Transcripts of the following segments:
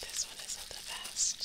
This one isn't the best.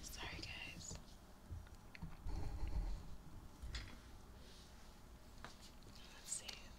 Sorry, guys. Let's see.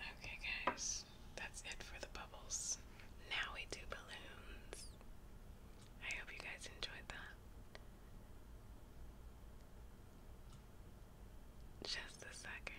Okay, guys, that's it for the bubbles. Now we do balloons. I hope you guys enjoyed that. Just a second.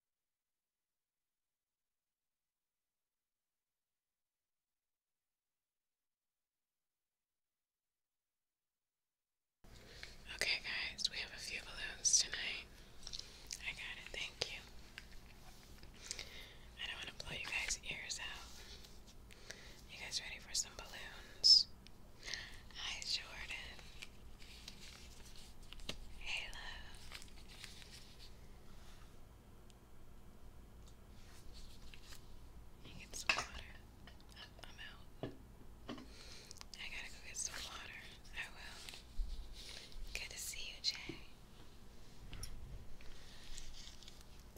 Okay, guys, we have a few balloons tonight. I got it, thank you. I don't want to blow you guys' ears out. You guys ready for some balloons? Hi, Jordan. Hey, love. You get some water. I'm out. I gotta go get some water. I will. Good to see you, Jay.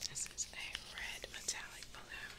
This is a red metallic balloon.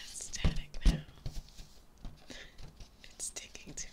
It's static now. It's sticking to me.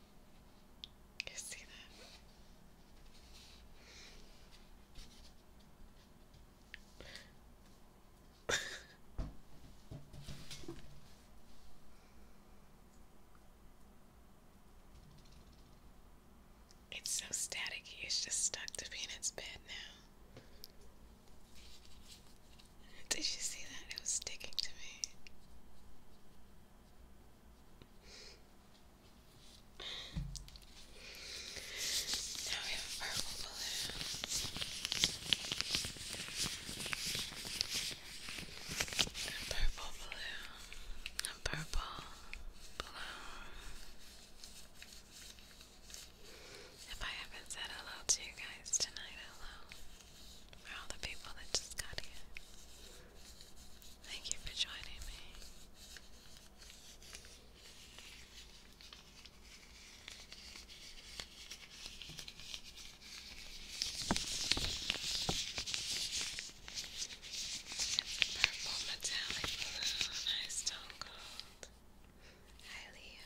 You see that? it's so staticky, it's just stuck to Peanut's bed now. Did you see that? It was sticking to me. Now we have a purple balloon. A purple balloon. A purple balloon. If I haven't said hello to you guys tonight, hello. For all the people that just got here. Thank you for joining me. a purple metallic blue, nice Hi, Leo.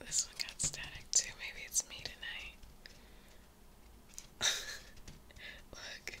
This one got static too. Maybe it's me tonight. Look.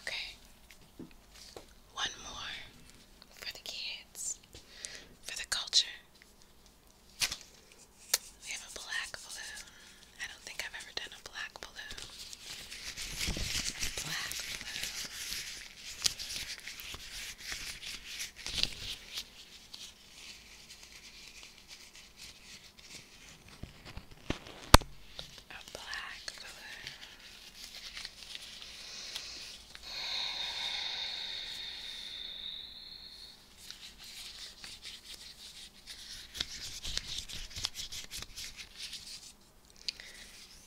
Okay. One more for the kids, for the culture, we have a black balloon. I don't think I've ever done a black balloon. A black balloon.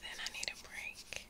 Then I need a break.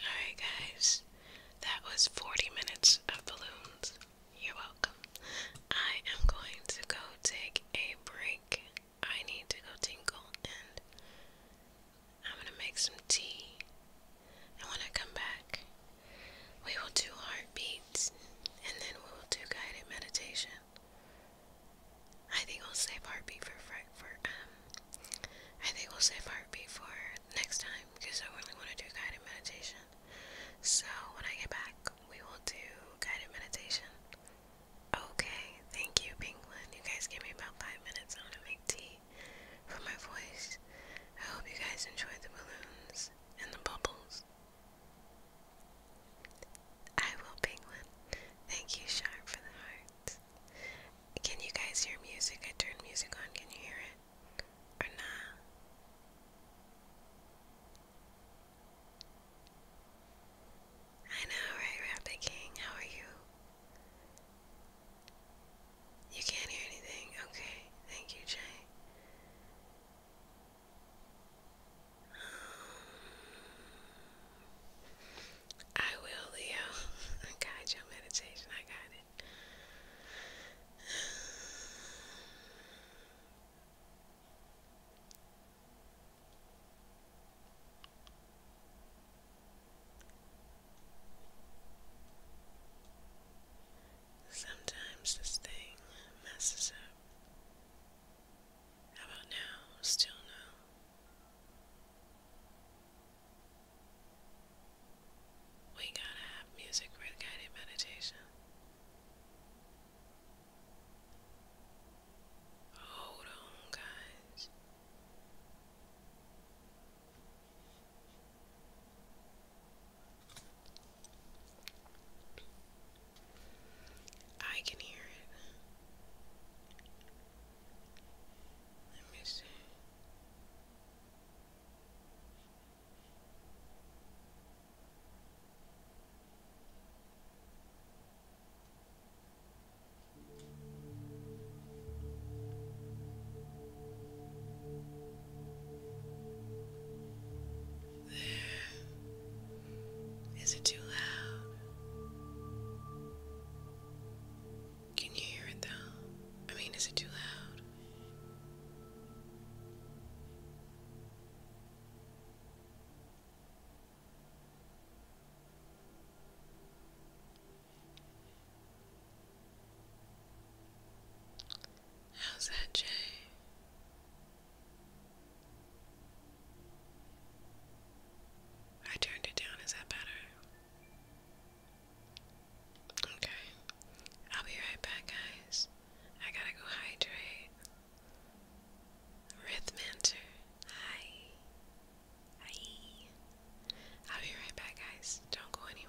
Alright, guys, that was 40 minutes of balloons. You're welcome. I am going to go take a break. I need to go tingle, and I'm going to make some tea. And when I come back, we will do heartbeats and then we will do guided meditation. I think we'll save Heartbeat for for um. I think we'll save Heartbeat for next time because I really want to do guided meditation. So when I get back, we will do guided meditation. Okay, thank you, Penguin. You guys gave me about five minutes. I'm gonna make tea for my voice. I hope you guys enjoyed the balloons and the bubbles. I will, Penguin. Thank you, Sharp, for the heart. Can you guys hear music? I turned music on. Can you hear it? Or not? I know, right, Rabbit King? How are you? You can't hear anything? Okay. Thank you, Jay. I will, Leo. I got your meditation. I got it. Sometimes this thing messes up. How about now? Still no. We gotta have music with guided meditation. Hold on, guys. I can hear it. Let me see. There. Is it too loud? Can you hear it though? I mean, is it too loud? How's that, Jay? I turned it down. Is that better? Okay. I'll be right back, guys. I gotta go hydrate. Rhythmancer. Hi. Hi. I'll be right back, guys. Don't go anywhere.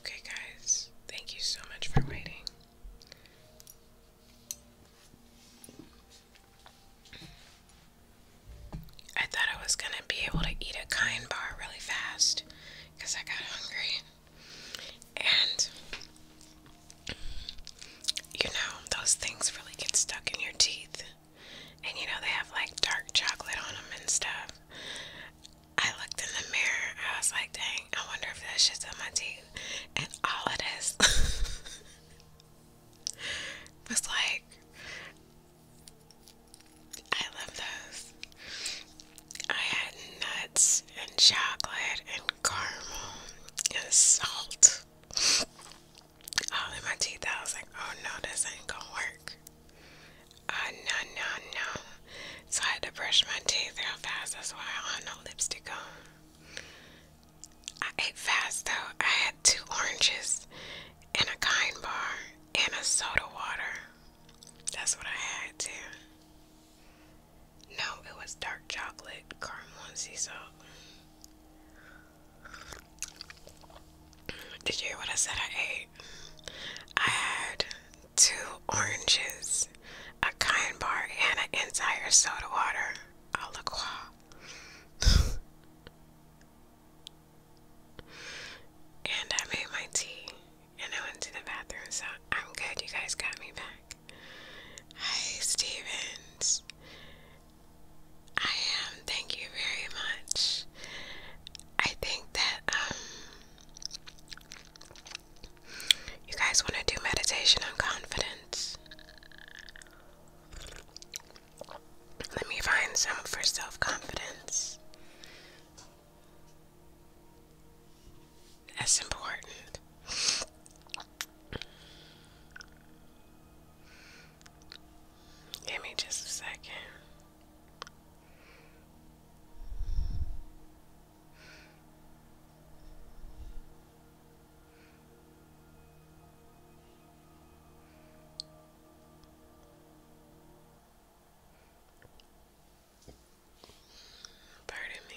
Okay, guys, thank you so much for waiting. I thought I was going to be able to eat a kind bar really fast because I got hungry. And you know, those things really get stuck in your teeth. And you know, they have like dark chocolate on them and stuff. I looked in the mirror, I was like, dang, I wonder if that shit's on my teeth. And all it is was like I love those. I had nuts and chocolate and caramel and salt all in my teeth. I was like, oh no, this ain't gonna work. Uh, no, no, no. So I had to brush my teeth real fast. That's why I don't have no lipstick on. I ate fast though. I had two oranges and a kind bar and a soda water. That's what I had too. No, it was dark chocolate, caramel, salt. Did you hear what I said I ate? I had two oranges, a kind bar, and an entire soda water. A la And I made my tea and I went to the bathroom, so I'm good. You guys got me back. Hi, Stevens. I am. Thank you very much. I think that, um,. You guys want to do meditation on confidence? Let me find some for self confidence. That's important. Give me just a second. Pardon me.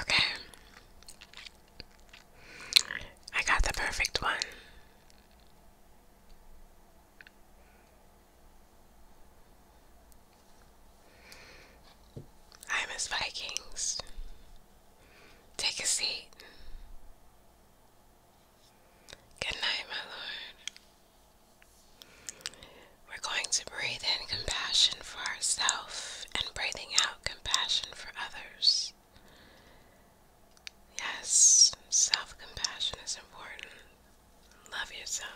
Okay. I got the perfect one. I miss Vikings. Take a seat. Good night, my Lord. We're going to breathe in compassion for ourselves and breathing out compassion for others. Yes, self compassion is important. Love yourself.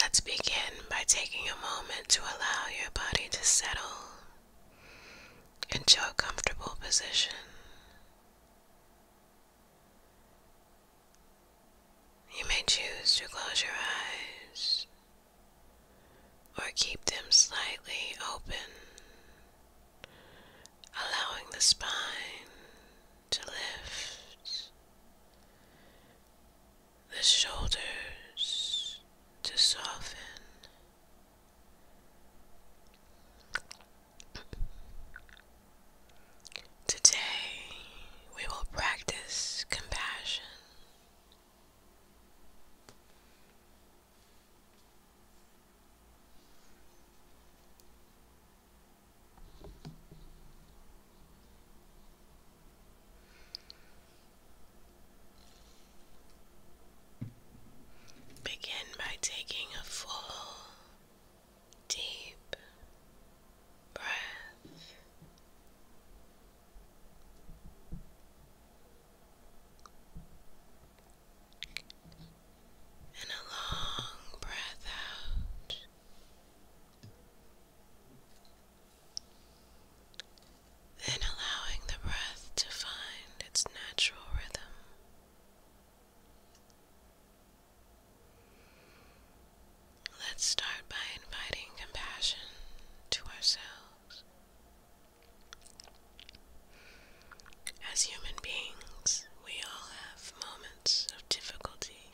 Let's begin by taking a moment to allow your body to settle into a comfortable position. You may choose to close your eyes or keep them slightly open, allowing the spine to lift, the shoulders to soften. Today, we will practice compassion. Begin by taking a full, deep breath and a long breath out. Then allowing the breath to find its natural rhythm. Let's start by inviting compassion to ourselves. As human beings, we all have moments of difficulty,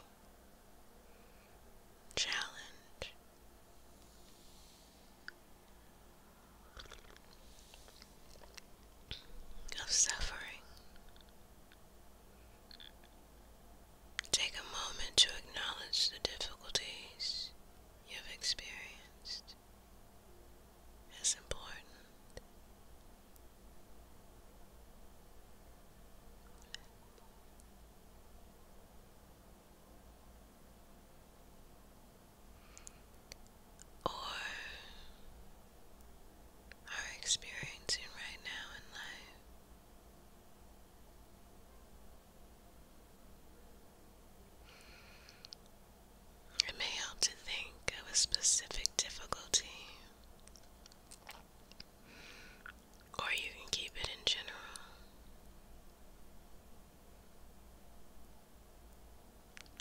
challenge. Of suffering. Take a moment to acknowledge the difficulties you have experienced as important. Or are experiencing right now in life it may help to think of a specific difficulty, or you can keep it in general.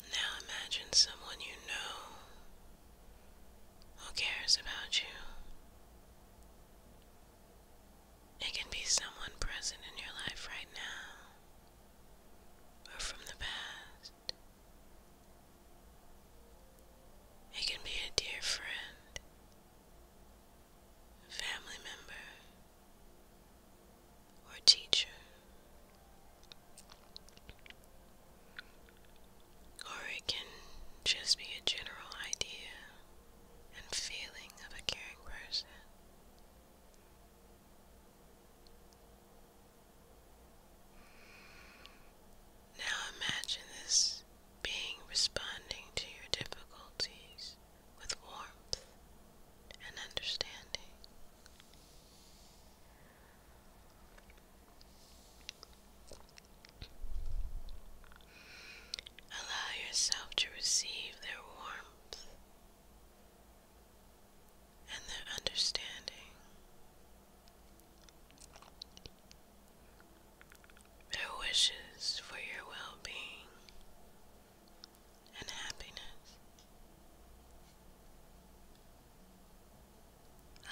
Now imagine someone you know who cares about you. It can be someone present in your life right now or from the past. It can be a dear friend, family member, or teacher, or it can just be a general idea and feeling of a caring person. Now imagine this being responding to your difficulties with warmth and understanding. Allow yourself to receive their warmth and their understanding. Their wishes for your well being and happiness.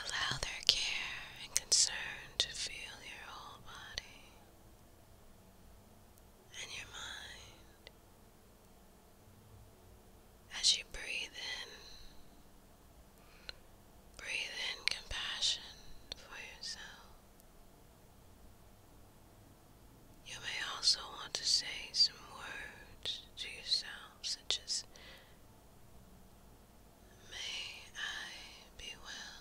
Allow their care and concern to feel your whole body and your mind as you breathe in. Breathe in compassion for yourself. You may also want to say some words to yourself, such as, May I be well.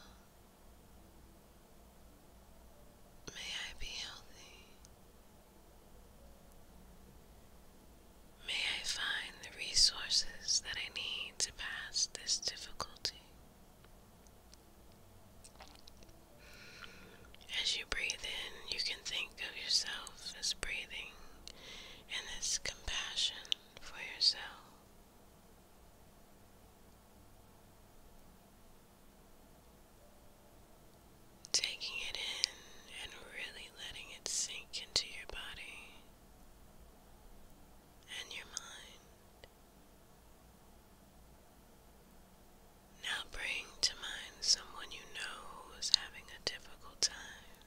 May I be healthy. May I find the resources that I need to pass this difficulty. As you breathe in, you can think of yourself as breathing and this compassion for yourself. Taking it in and really letting it sink into your body and your mind. Now bring to mind someone you know who's having a difficult time.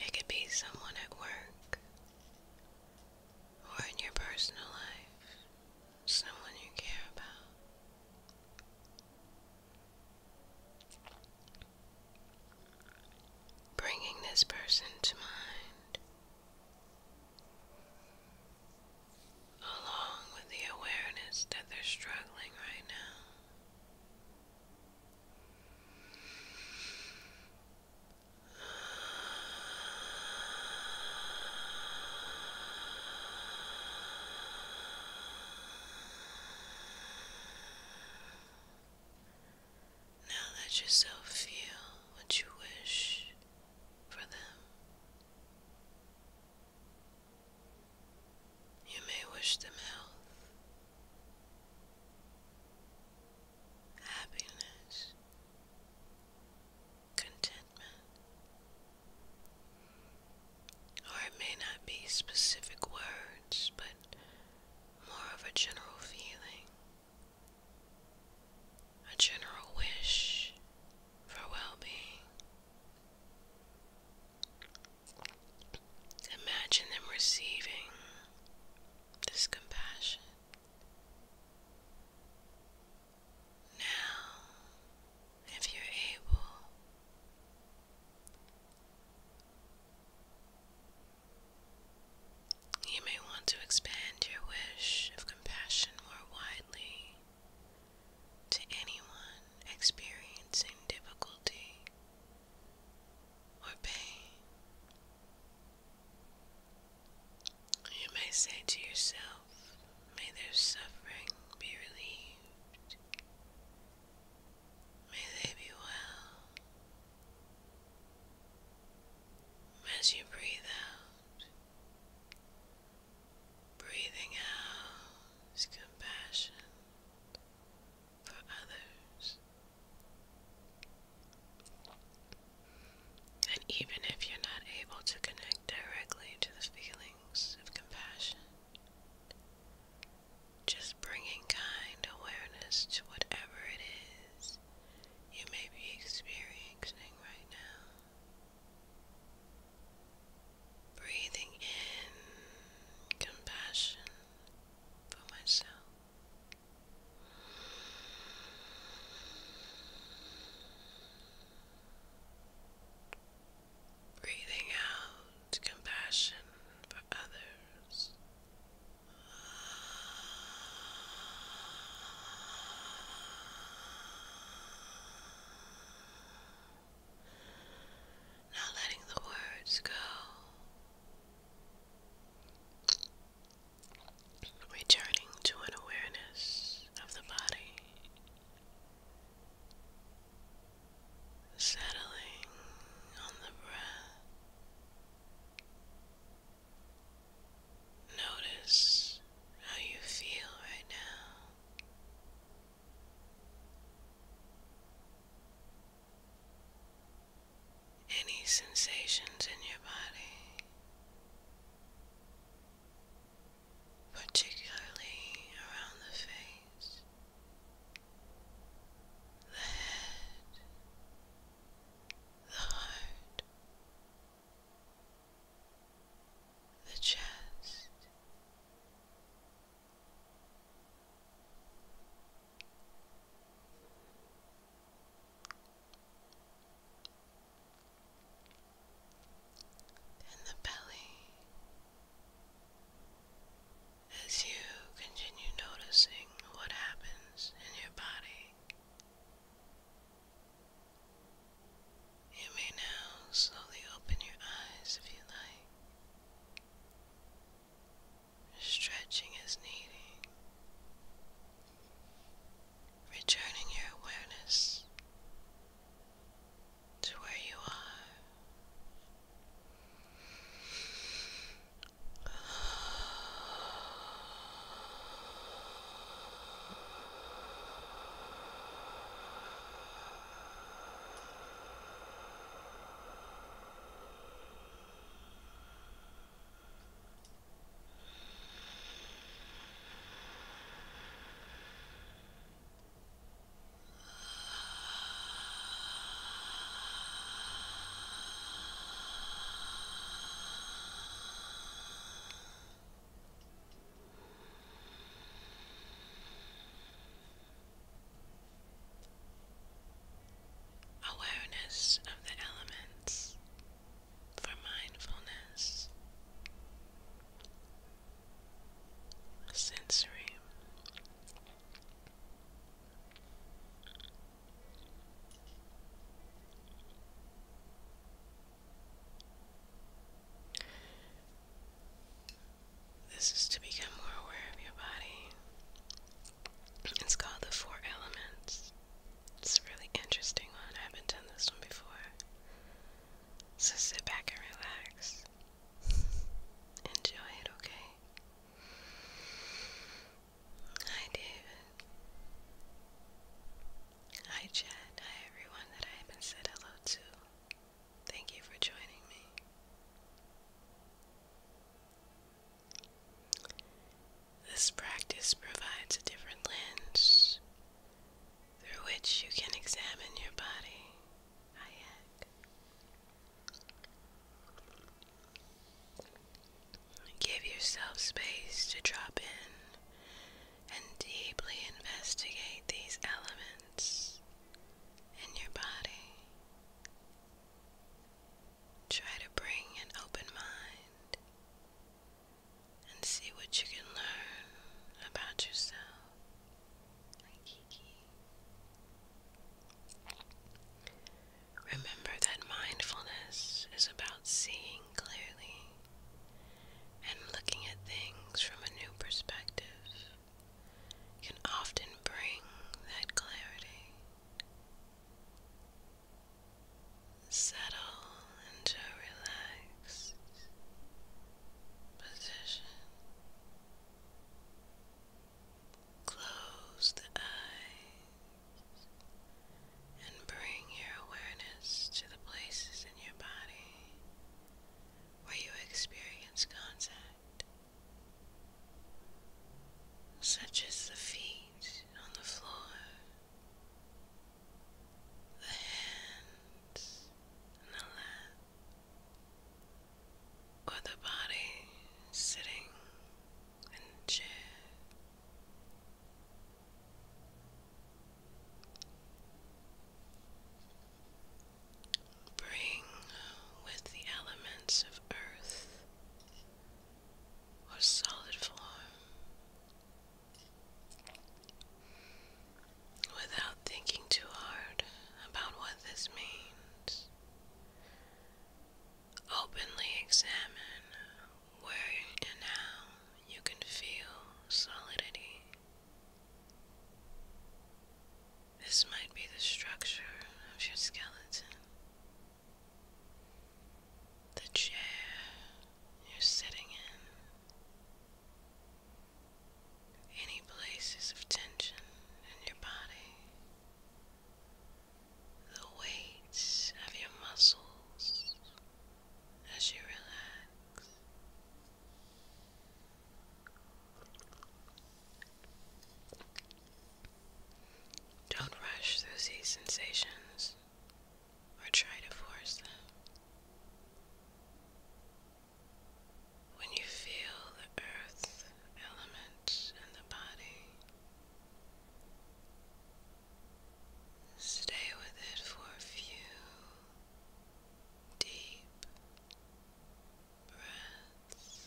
It could be someone at work, or in your personal life, someone you care about. Bringing this person to mind, along with the awareness that they're struggling right now. Now let yourself feel what you wish for them. You may wish them health happiness, contentment. Or it may not be specific words, but more of a general feeling, a general wish for well being. Imagine them receiving this compassion. Now, if you're able, you may want to expand your wish of compassion more widely to anyone experiencing difficulty or pain. You may say to yourself, May their suffering be relieved. May they be well. As you breathe out, breathing out is compassion for others. And even if you're not able to connect directly to the feelings of compassion, just bringing kind awareness to whatever it is you may be experiencing right now. Breathing in compassion for myself. Breathing out compassion for others. Not letting the words go returning to an awareness of the body, settling on the breath. Notice how you feel right now any sensations in your body, particularly around the face, the head, the heart, the chest and the belly as you continue noticing what happens in your body. You may now slowly open your eyes if you like. Stretching is needing. Returning your awareness to where you are. Awareness of the elements for mindfulness, sensory. This is to become more aware of your body. It's called the Four Elements. It's a really interesting one. I haven't done this one before. So sit back and relax. Enjoy it, okay? Hi, David. Hi, Chad. Hi, everyone that I haven't said hello to. Thank you for joining me. This practice provides a different lens through which you can examine your body. Hayek. Give yourself space to drop in and deeply investigate these elements in your body. Try to bring an open mind and see what you can learn about yourself. Remember that mindfulness is about seeing clearly and looking at things from a new perspective can often bring that clarity settle into a relaxed position. Close the eyes and bring your awareness to the places in your body where you experience contact, such as the feet on the floor the hands and the lap, or the body sitting in the chair. Bring with the elements of earth or solid form Without thinking too hard about what this means, openly examine where and how you can feel solidity. This might be the structure of your skeleton the chair you're sitting in, any places of tension in your body, the weight of your muscles as you relax. Don't rush through these sensations or try to force them. When you feel the earth element in the body, stay with it for a few deep breaths.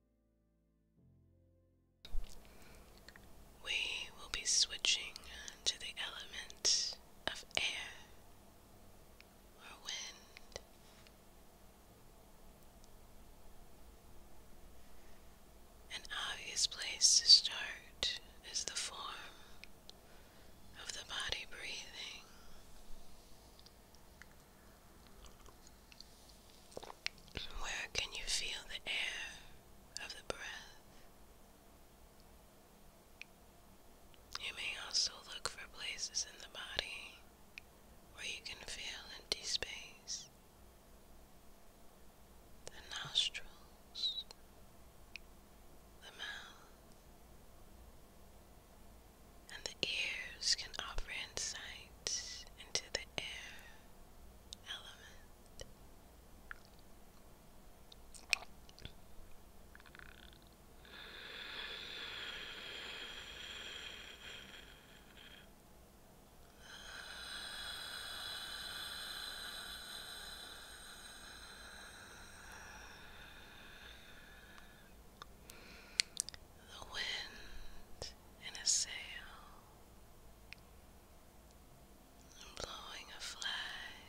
We will be switching uh, to the element of air or wind. An obvious place to start is the form of the body breathing. Where can you feel the air of the breath? You may also look for places in the body where you can feel empty space. The nostrils, the mouth, and the ears can offer insights into the air element. The wind wind in a sail blowing a flag,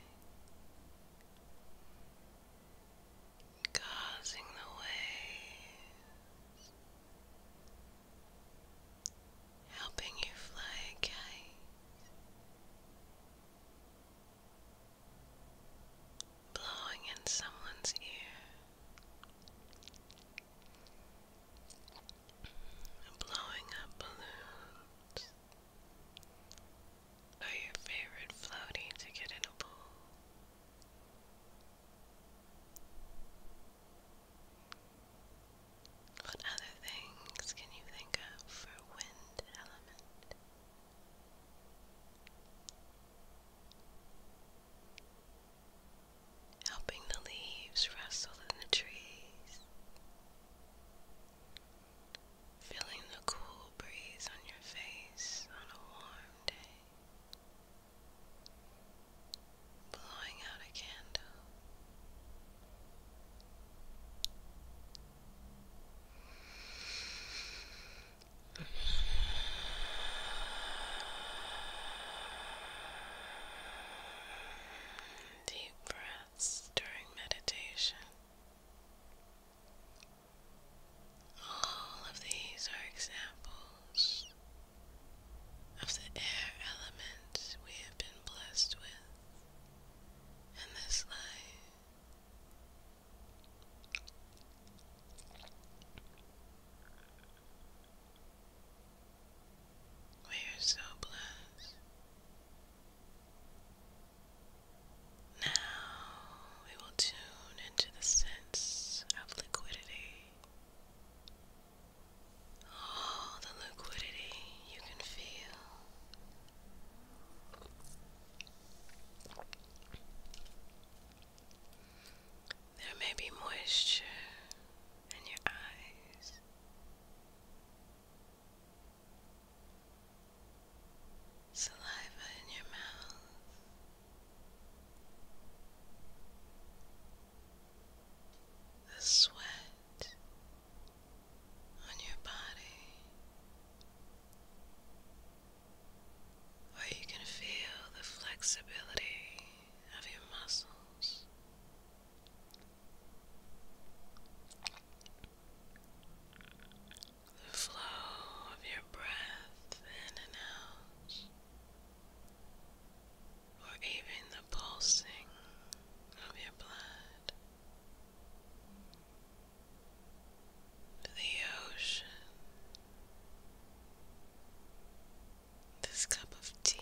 causing the waves, helping you fly a kite blowing in someone's ear, blowing up balloons, or your favorite floaty to get in a pool. What other things can you think of for wind element? helping the leaves rustle in the trees, feeling the cool breeze on your face on a warm day, blowing out a candle. Deep breaths during meditation. All of these are examples of the air element we have been blessed with in this life. We are so blessed. Now we will tune into the sense of liquidity. All the liquidity you can feel. There may be moisture in your eyes. Saliva in your mouth. The sweat on your body. Or you can feel the flexibility of your muscles. The flow of your breath in and out, or even the pulsing of your blood, the ocean this cup of tea.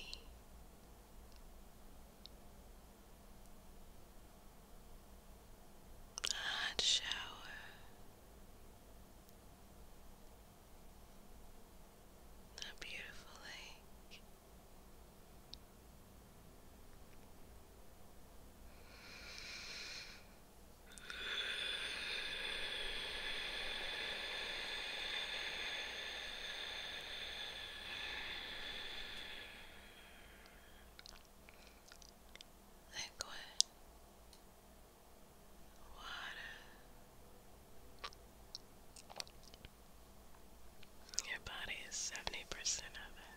A hot shower. A beautiful lake liquid water. Your body is seventy percent of it.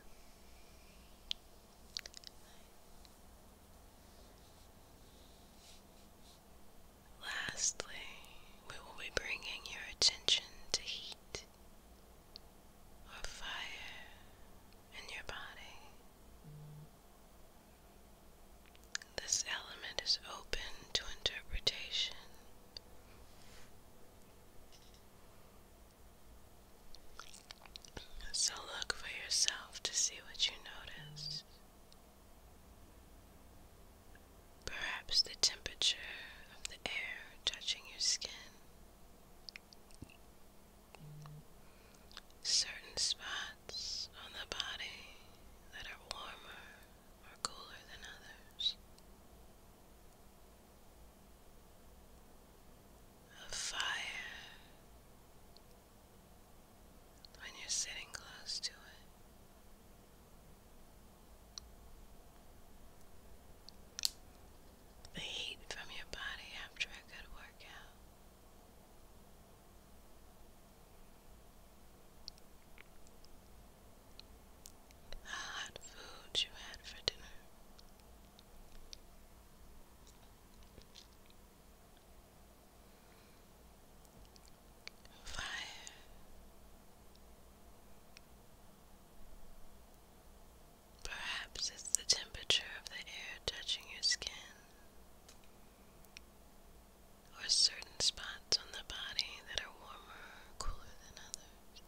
Lastly, we will be bringing your attention to heat or fire in your body. This element is open to interpretation. So look for yourself to see what you notice. Perhaps the temperature of the air touching your skin. Certain spots on the body that are warmer or cooler than others. A fire when you're sitting close to it. The heat from your body after a good workout. The hot food you had for dinner five, perhaps it's the temperature of the air touching your skin. Or certain spots on the body that are warmer or cooler than others.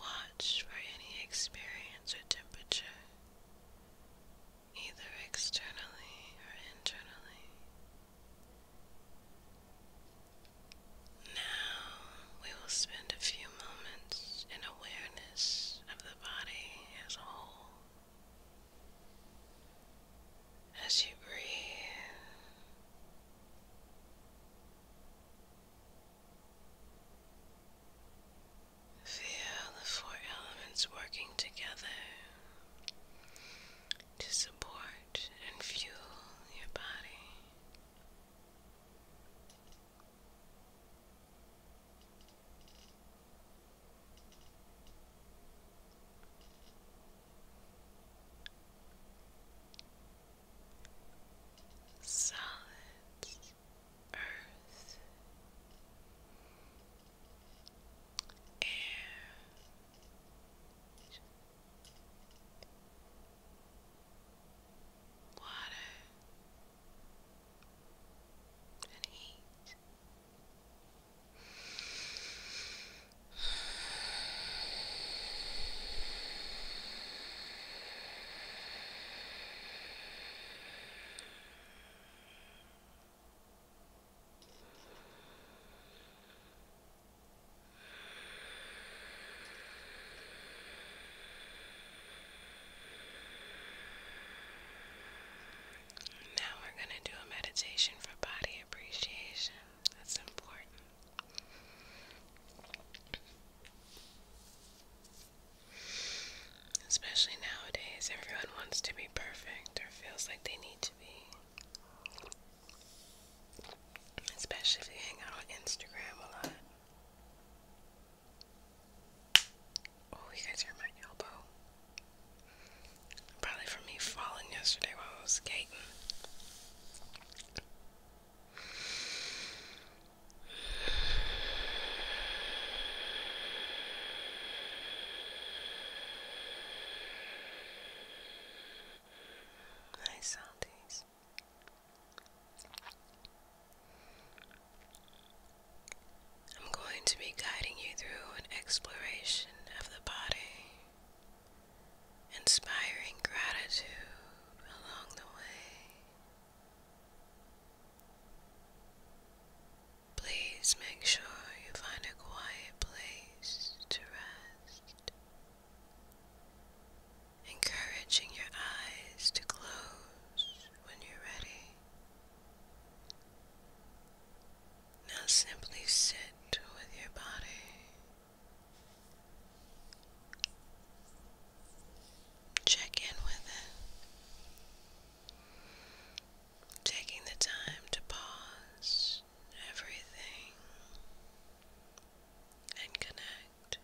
Watch for any experience or temperature either externally or internally. Now we will spend a few moments in awareness of the body as a whole. As you breathe, feel the four elements working together to support and fuel your body. Solid earth and water and heat. Now we're going to do a meditation for body appreciation. That's important. Especially nowadays, everyone wants to be perfect or feels like they need to be. Especially if you hang out on Instagram a lot. Oh, you guys hear my elbow? Probably from me falling yesterday while skating. Nice soundings. I'm going to be guiding you through an exploration of the body, inspiring gratitude along the way. Please make sure you find a quiet place to rest, encouraging your eyes to close when you're ready. Now simply sit with your body. Check in with it. Taking the time to pause everything and connect.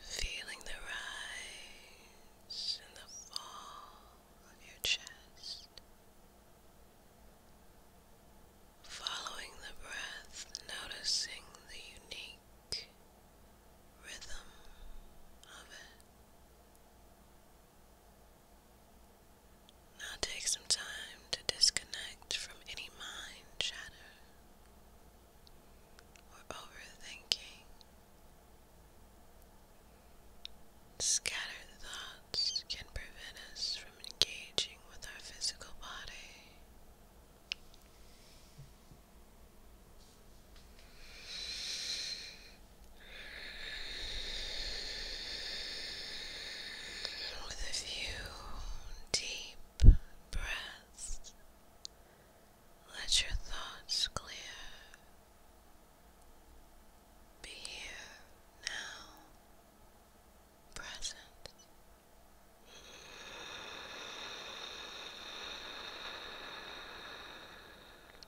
Feeling the rise and the fall of your chest. Following the breath, noticing the unique rhythm of it. Now take some time to disconnect from any mind chatter or overthinking. Scattered thoughts can prevent us from engaging with our physical body. With a few deep breaths, let your thoughts clear. Be here now, present.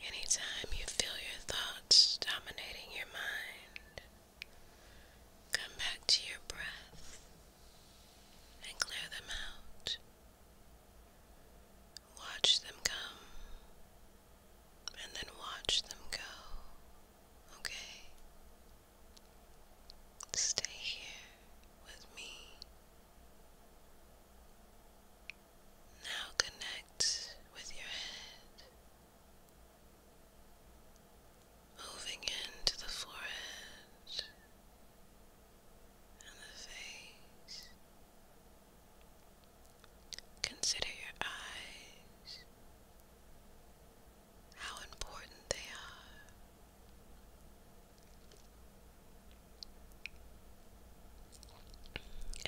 Anytime you feel your thoughts dominating your mind, come back to your breath and clear them out. Watch them come and then watch them go, okay? Stay here with me. Now connect with your head, moving into the forehead and the face. Consider your eyes, how important they are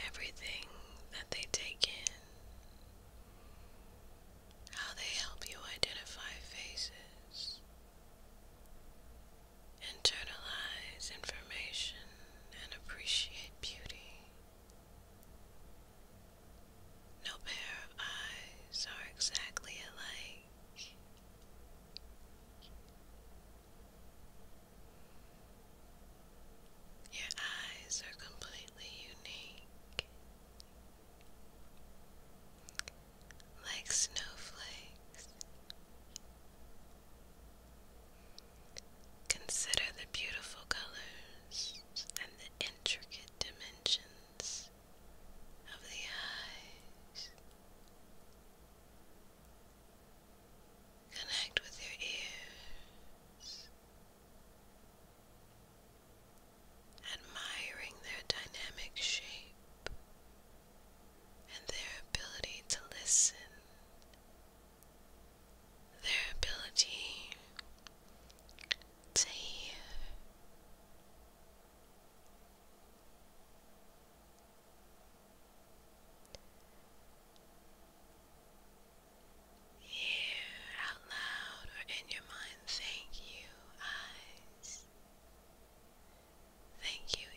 everything that they take in, how they help you identify faces, internalize information, and appreciate beauty. No pair of eyes are exactly alike. Your eyes are completely unique. Like snowflakes. Consider the beautiful colors and the intricate dimensions of the eyes. Connect with your ears admiring their dynamic shape and their ability to listen, their ability to hear. Hear out loud or in your mind, thank you, eyes. Thank you,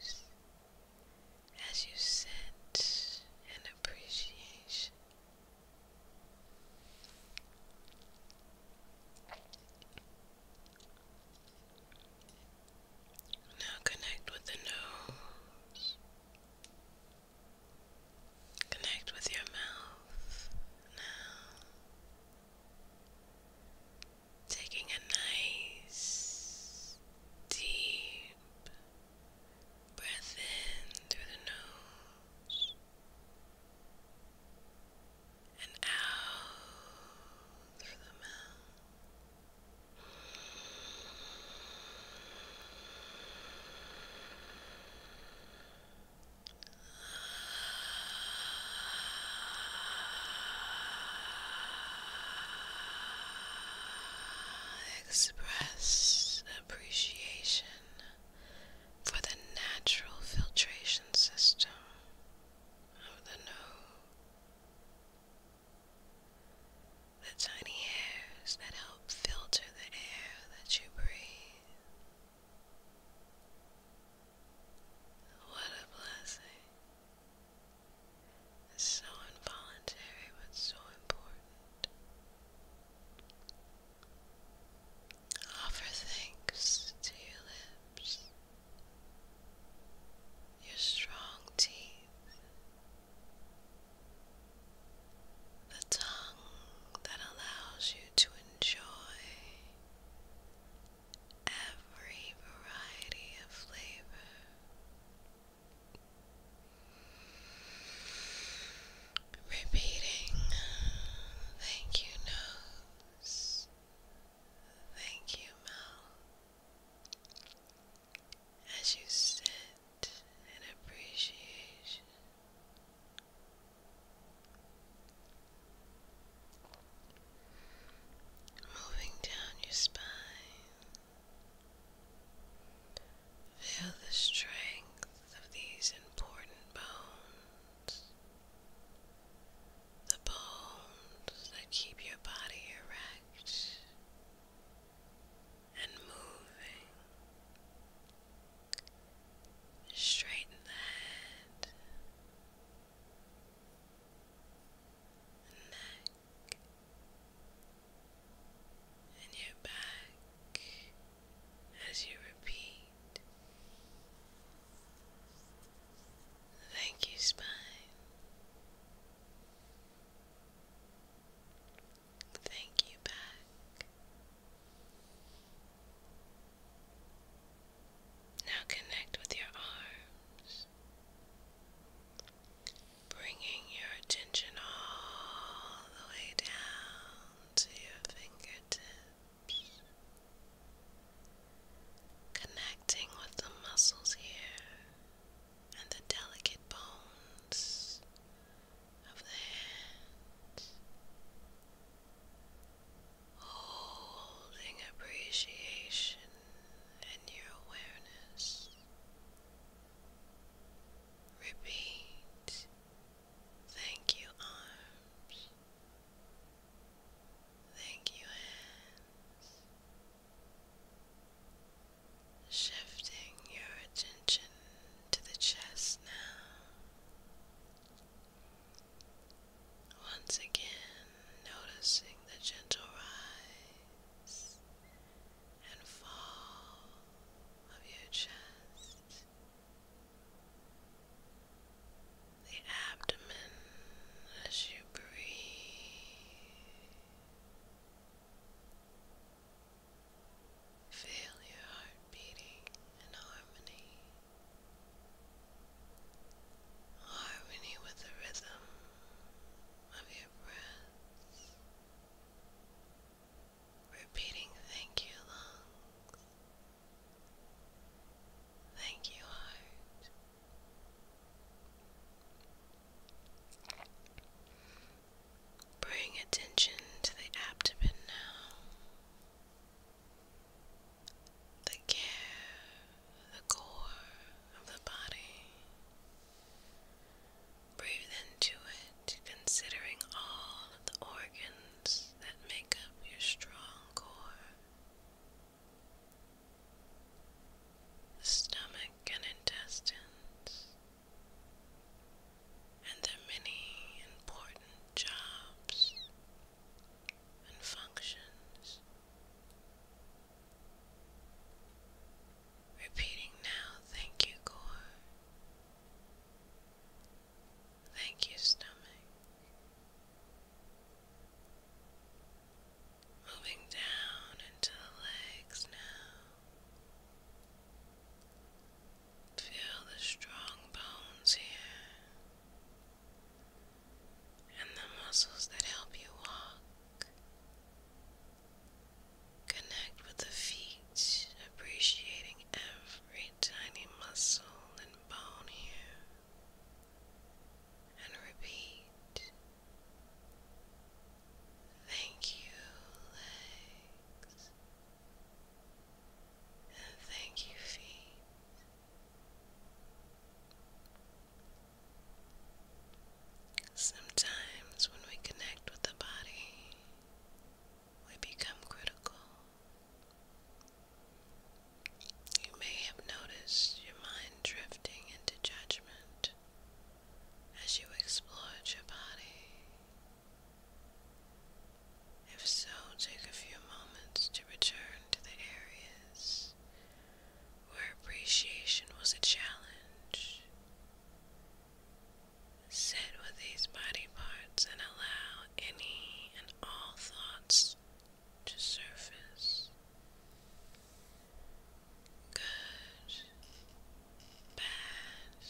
ears. As you sit in appreciation. Now connect with the nose. Connect with your mouth now. Taking a nice deep breath in through the nose and out through the mouth. Express appreciation for the natural filtration system of the nose the tiny hairs that help filter the air that you breathe. What a blessing! so involuntary, but so important. Offer thanks to your lips, your strong teeth, the tongue that allows you to enjoy every variety of flavor. Repeating, thank you, nose, thank you, mouth, as you sit in appreciation. Moving down your spine, feel the strength of these important bones, the bones that keep your body erect and moving. Straighten the head, neck, and your back as you repeat. Thank you, spine. Thank you back. Now connect with your arms, bringing your attention all the way down to your fingertips, connecting with the muscles here and the delicate bones of the hand holding appreciation in your awareness. Repeat, thank you, arms. Thank you, hands. Shifting your attention to the chest now. Once again, noticing the gentle rise and fall of your chest. The abdomen as you breathe. Feel your heart beating in harmony. Harmony with the rhythm of your breath. Repeating thank you lungs. Thank you heart. Bring attention to the abdomen now. The care, the core of the body. Breathe into it, considering all the organs that make up your strong core. The stomach and intestines, and their many important jobs and functions. Repeating now, thank you, Gore. Thank you, stomach. Moving down into the legs now. Feel the strong bones here and the muscles that help you walk. Connect with the feet, appreciating every tiny muscle and bone here. And repeat. Thank you, legs thank you, feet. Sometimes when we connect with the body, we become critical. You may have noticed your mind drifting into judgment as you explore your body. If so, take a few moments to return to the areas where appreciation was a challenge. Sit with these body parts and allow any and all thoughts to surface. Good, bad,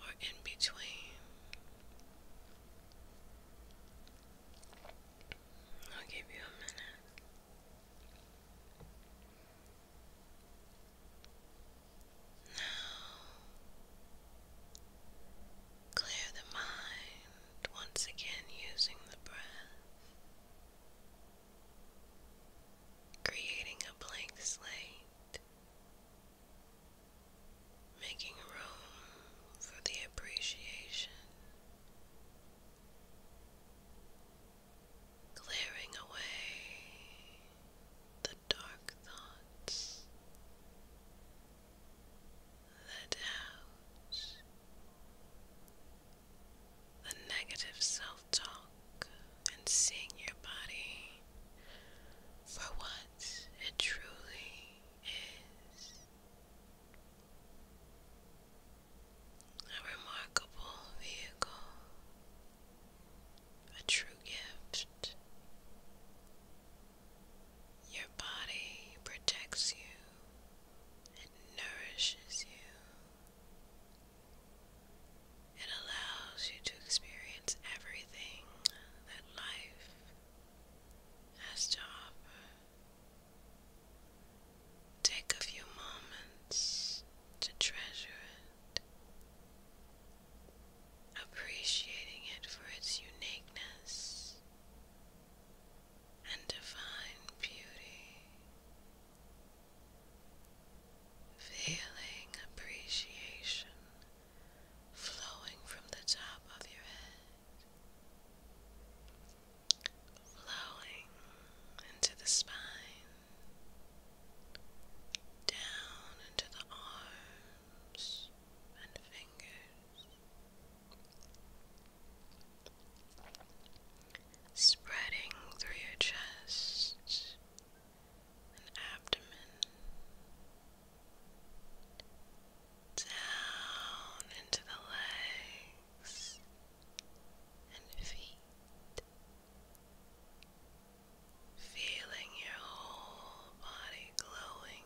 or in between. I'll give you a minute. Now, clear the mind once again using the breath, creating a blank slate making room for the appreciation, clearing away the dark thoughts, the doubts, the negative self talk, and seeing your body for once, it truly is. A remarkable vehicle, a true gift. Your body protects you, it nourishes you, it allows you to experience everything that life has to offer. Take a few moments to treasure it, appreciating it for its uniqueness and divine beauty. Feeling appreciation flowing from the top of your head, flowing into the spine, down into the arms and fingers. Spreading through your chest and abdomen, down into the legs and feet, feeling your whole body glowing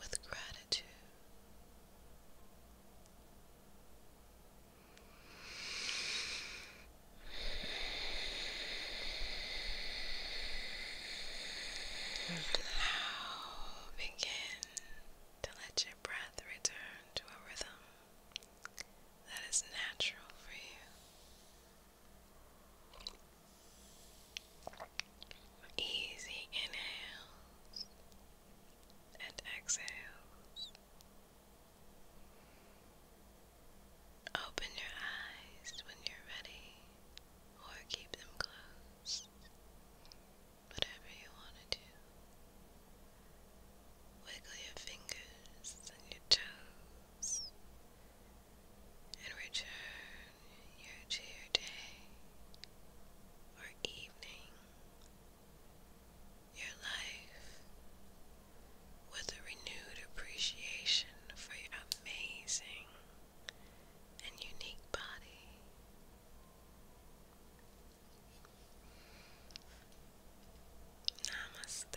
with gratitude. Now begin to let your breath return to a rhythm that is natural for you. Easy inhales and exhales. Open your eyes when you're ready, or keep them closed. Whatever you want to do. Wiggle your fingers and your toes, and return your to your day or evening, your life with a renewed appreciation for your amazing and unique body. Namaste.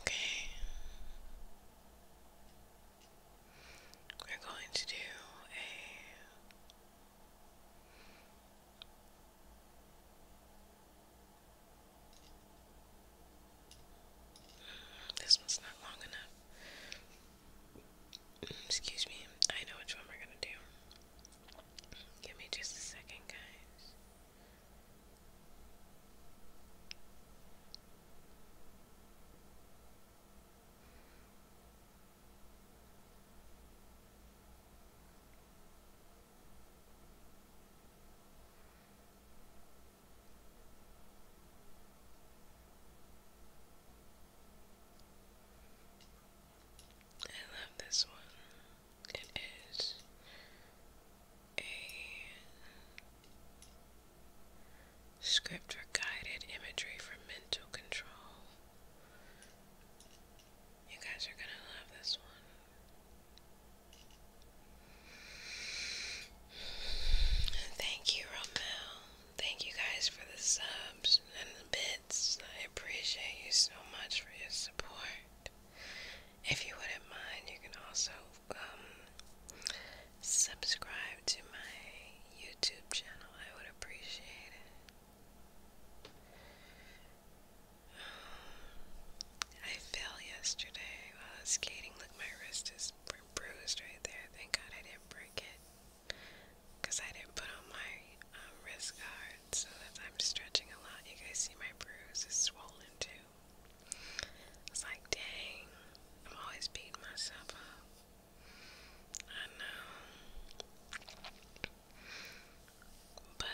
Okay. We're going to do a this one's not long enough. Excuse me. I know which one we're gonna do. Give me just a second, guys. I love this one. It is a script guided imagery for mental control. You guys are gonna love this one. Thank you, Romel. Thank you guys for the subs and the bits. I appreciate you so much for your support. If you wouldn't mind, you can also um, subscribe to my YouTube channel. I would appreciate it. I fell yesterday while skating. Look, my wrist is bruised right there. Thank God I didn't break it. Because I didn't put on my um, wrist guard, so that I'm stretching a lot. You guys see my bruise is swollen too. It's like, dang, I'm always beating myself up. I know. But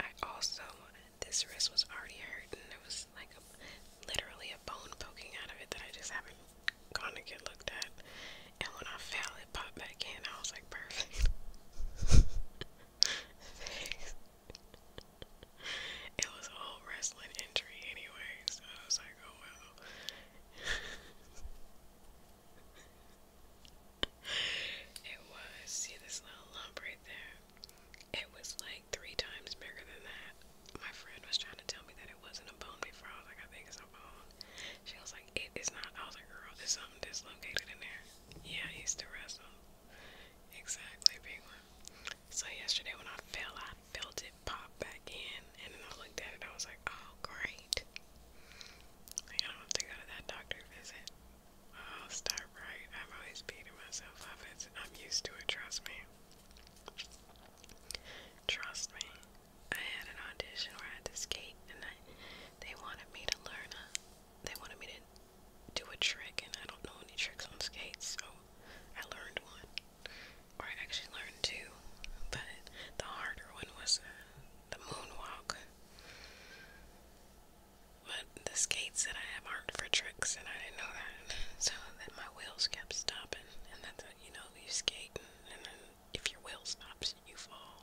I also, this wrist was already hurt, and it was like a, literally a bone poking out of it that I just haven't gone to get looked at. And when I fell, it popped back in. I was like, perfect. Thanks. It was a whole wrestling injury anyway, so I was like, oh well. it was, see this little lump right there? It was like three times bigger than that. My friend was trying to tell me that it wasn't a bone before. I was like, I think it's a bone. She was like, it is not. I was like, girl, there's something dislocated in there. Yeah, I used to wrestle. Exactly, big one. So yesterday when I fell, I felt it pop back in, and then I looked at it. I was like, oh, great. I don't have to go to that doctor visit. I'll start right. i am always beating myself up. It's, I'm used to it, trust me. Trust me. I had an audition where I had to skate, and I, they wanted me to learn they wanted me to do a trick, and I don't know any tricks on skates, so I learned one. Or I actually learned two, but the harder one was uh, the moonwalk. But the skates that I have aren't for tricks, and I didn't know that. So that my wheels kept stopping, and that's what, you know, you skate, and, and then if your wheel stops, you fall.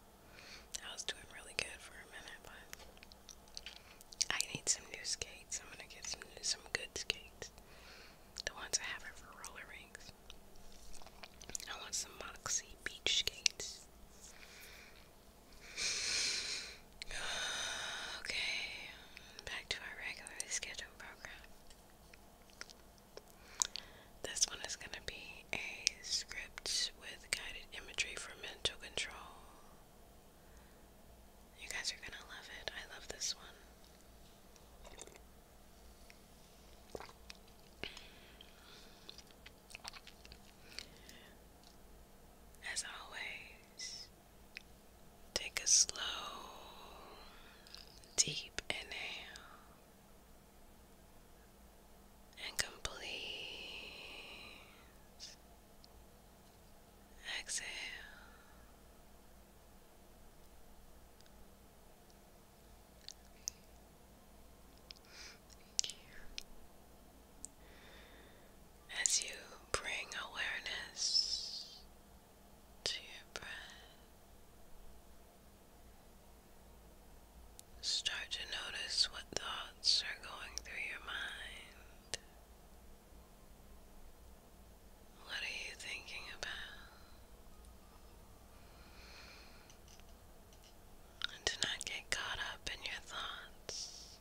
I was doing really good for a minute, but I need some new skates. I'm gonna get some new, some good skates. The ones I have are for roller rinks. I want some Moxie beach skates. Okay, back to our regularly scheduled program. This one is going to be a script with guided imagery for mental control. You guys are going to love it. I love this one. As always, take a slow, deep inhale and complete exhale as you bring awareness to your breath. Start to notice what thoughts are going through your mind. What are you thinking about? And do not get caught up in your thoughts.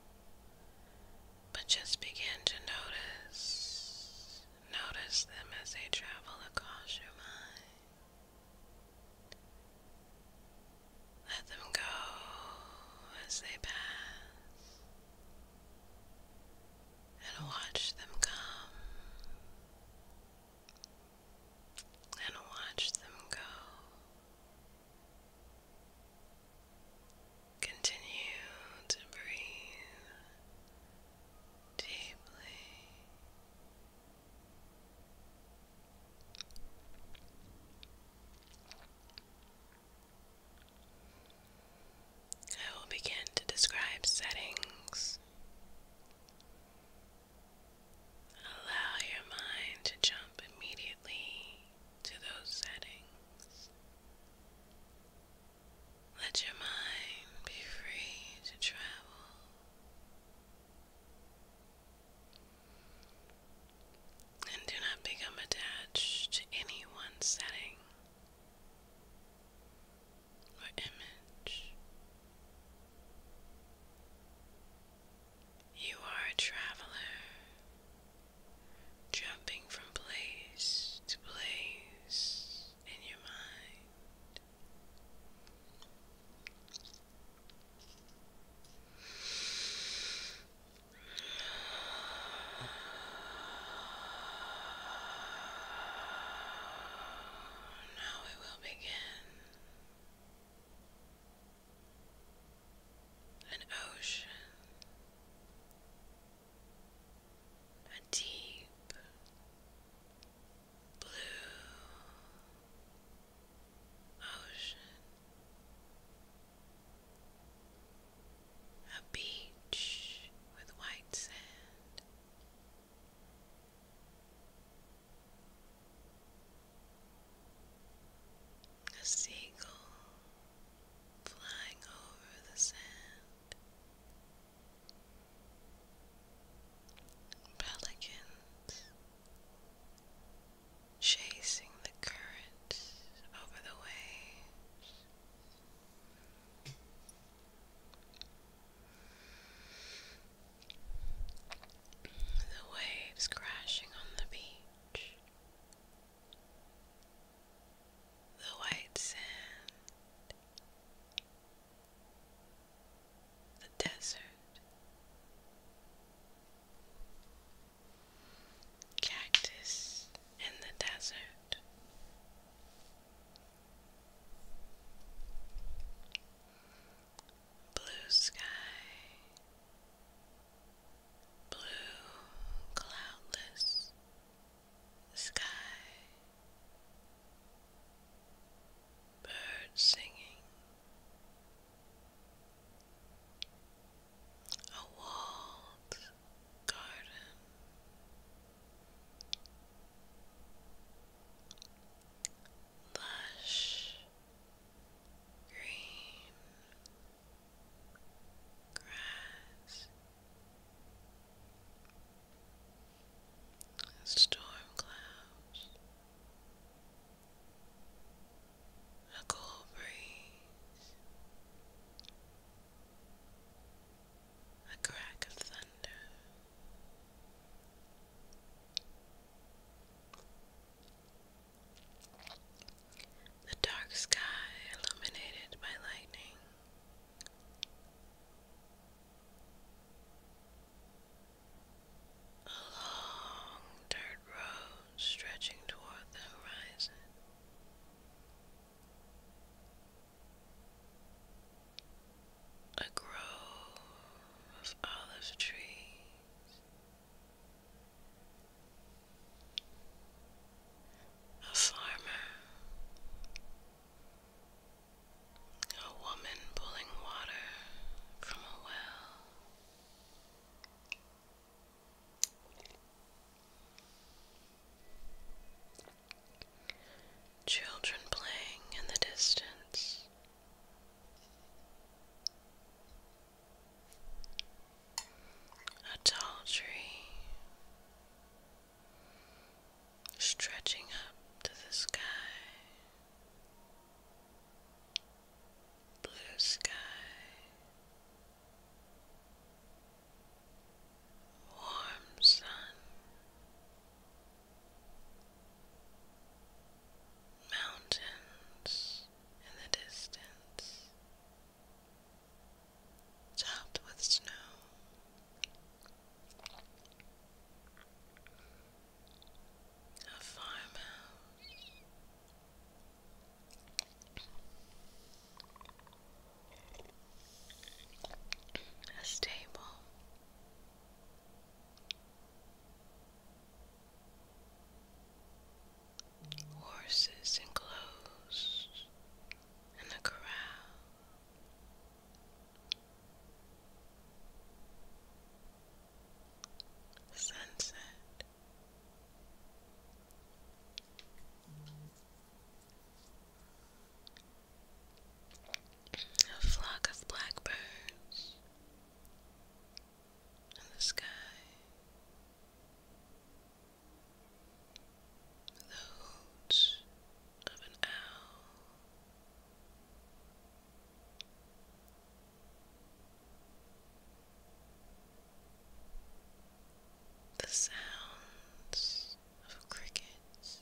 But just begin to notice, notice them as they travel across your mind. Let them go as they pass, and watch them come, and watch them go. Continue to breathe deeply. I will begin to describe settings. Allow your mind to jump immediately to those settings. Let your mind be free to travel. And do not become attached to any one setting or image. You are a traveler, jumping from place to place in your mind. Now we will begin an ocean, a deep blue ocean, a beach with white sand. A seagull flying over the sand. Pelicans chasing the current over the waves. The waves crashing on the beach the white sand, the desert, cactus in the desert. Blue sky, blue, cloudless sky, birds singing, a walled garden. Lush green grass, storm clouds, a cool breeze, a crack of thunder. The dark sky illuminated by lightning. A long dirt road stretching toward the horizon. A grove of olive trees a farmer, a woman pulling water from a well. Children playing in the distance. A tall tree stretching up to the sky, blue sky, warm sun. Mountains in the distance, topped with snow. A farmhouse. A stable. Horses enclosed in the corral. Sunset. A flock of blackbirds in the sky the hoots of an owl. The sounds of crickets,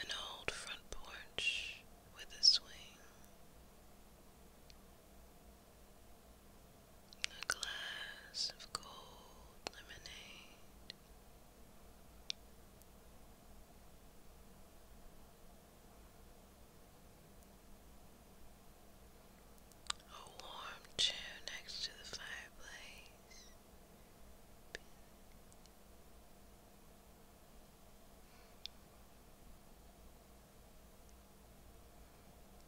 an old front porch with a swing. A glass of cold lemonade. A warm chair next to the fireplace.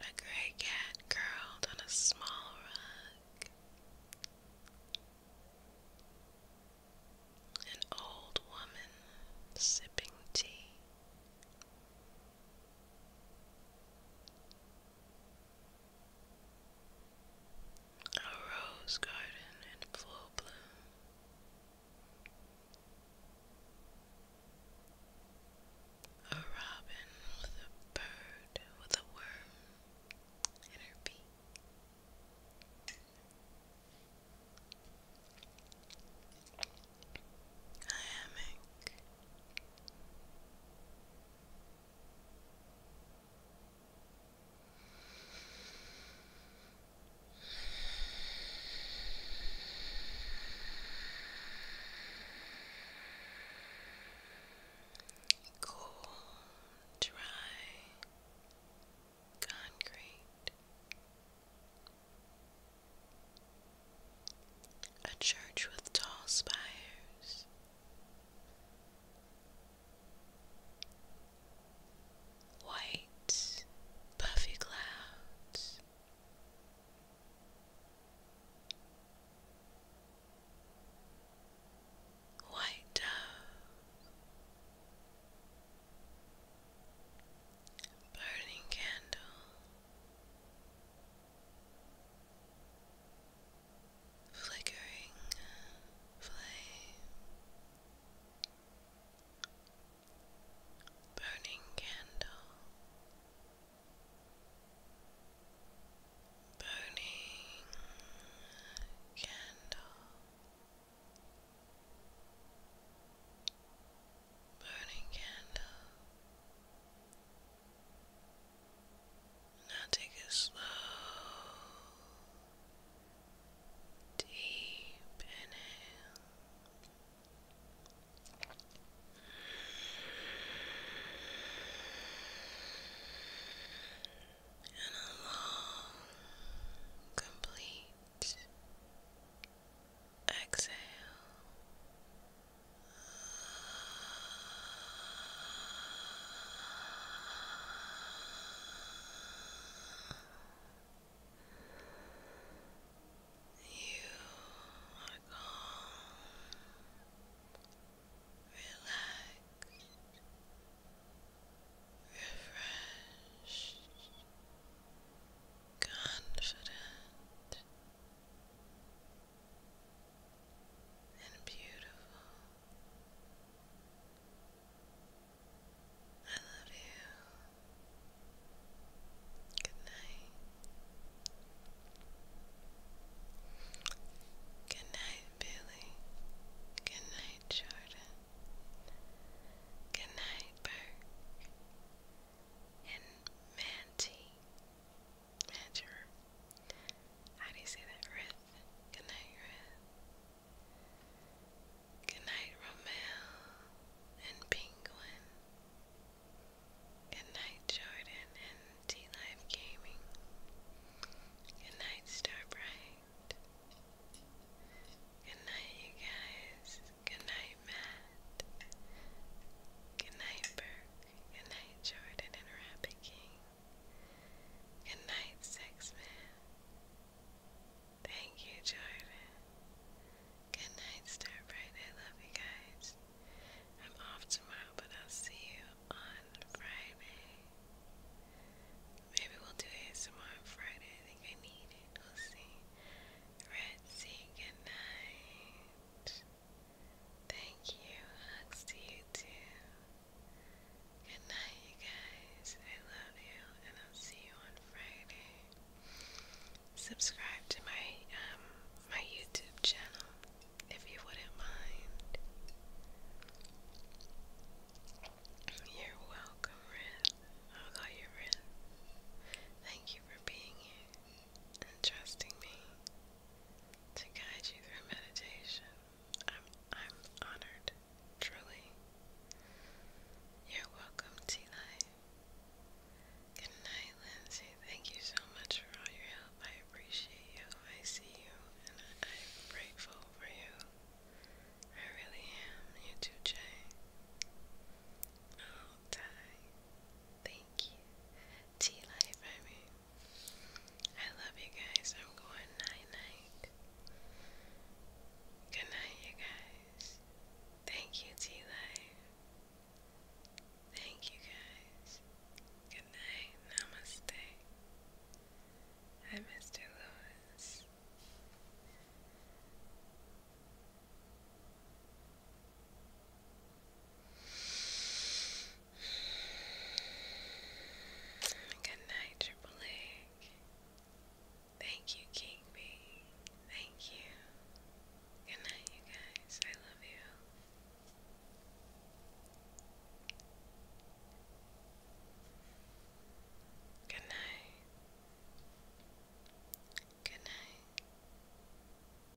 A gray cat curled on a small rug. An old woman sipping tea. A rose garden in full bloom. A robin with a bird with a worm in Cool, dry concrete. A church with tall spires white, puffy clouds. White dove, burning candle, flickering flame, burning candle, burning candle, burning candle. Now take a slow, deep inhale. And a long, complete exhale. You are calm, relaxed, refreshed, confident, and beautiful. I love you. Good night. Good night, Billy. Good night, Jordan. Good night, Burke. And Manti. Manager. How do you say that? Good night, Rith. Good night, Romeo and Penguin. Good night, Jordan and T Live Gaming. Good night, Starbright. Good night, you guys. Good night, Matt. Good night, Burke. Good night, Jordan and Rabbit King. Good night, Man. Thank you, Jordan. Good night, Starbright. I love you guys. I'm off tomorrow, but I'll see you on Friday. Maybe we'll do ASMR on Friday. I think I need it. We'll see. Red, say good night. Thank you. Hugs to you too. Good night, you guys. I love you, and I'll see you on Friday subscribe to my um my YouTube channel if you wouldn't mind. You're welcome, Ren. i call you Ren. Thank you for being here and trusting me to guide you through meditation. I'm I'm honored, truly. You're welcome, tonight. Good night, Lindsay. Thank you so much for all your help. I appreciate you. I see you, and I, am grateful for you. I really am. You too, Jay. Oh, Ty. Thank you. T life, I mean. I love you guys. I'm going night night. Good night, you guys. Thank you, T Life. Thank you guys. Good night. Namaste. i Mr. Lewis. Good night, Triple Thank you, King B. Thank you. Good night, you guys. I love you. Good night. Good night.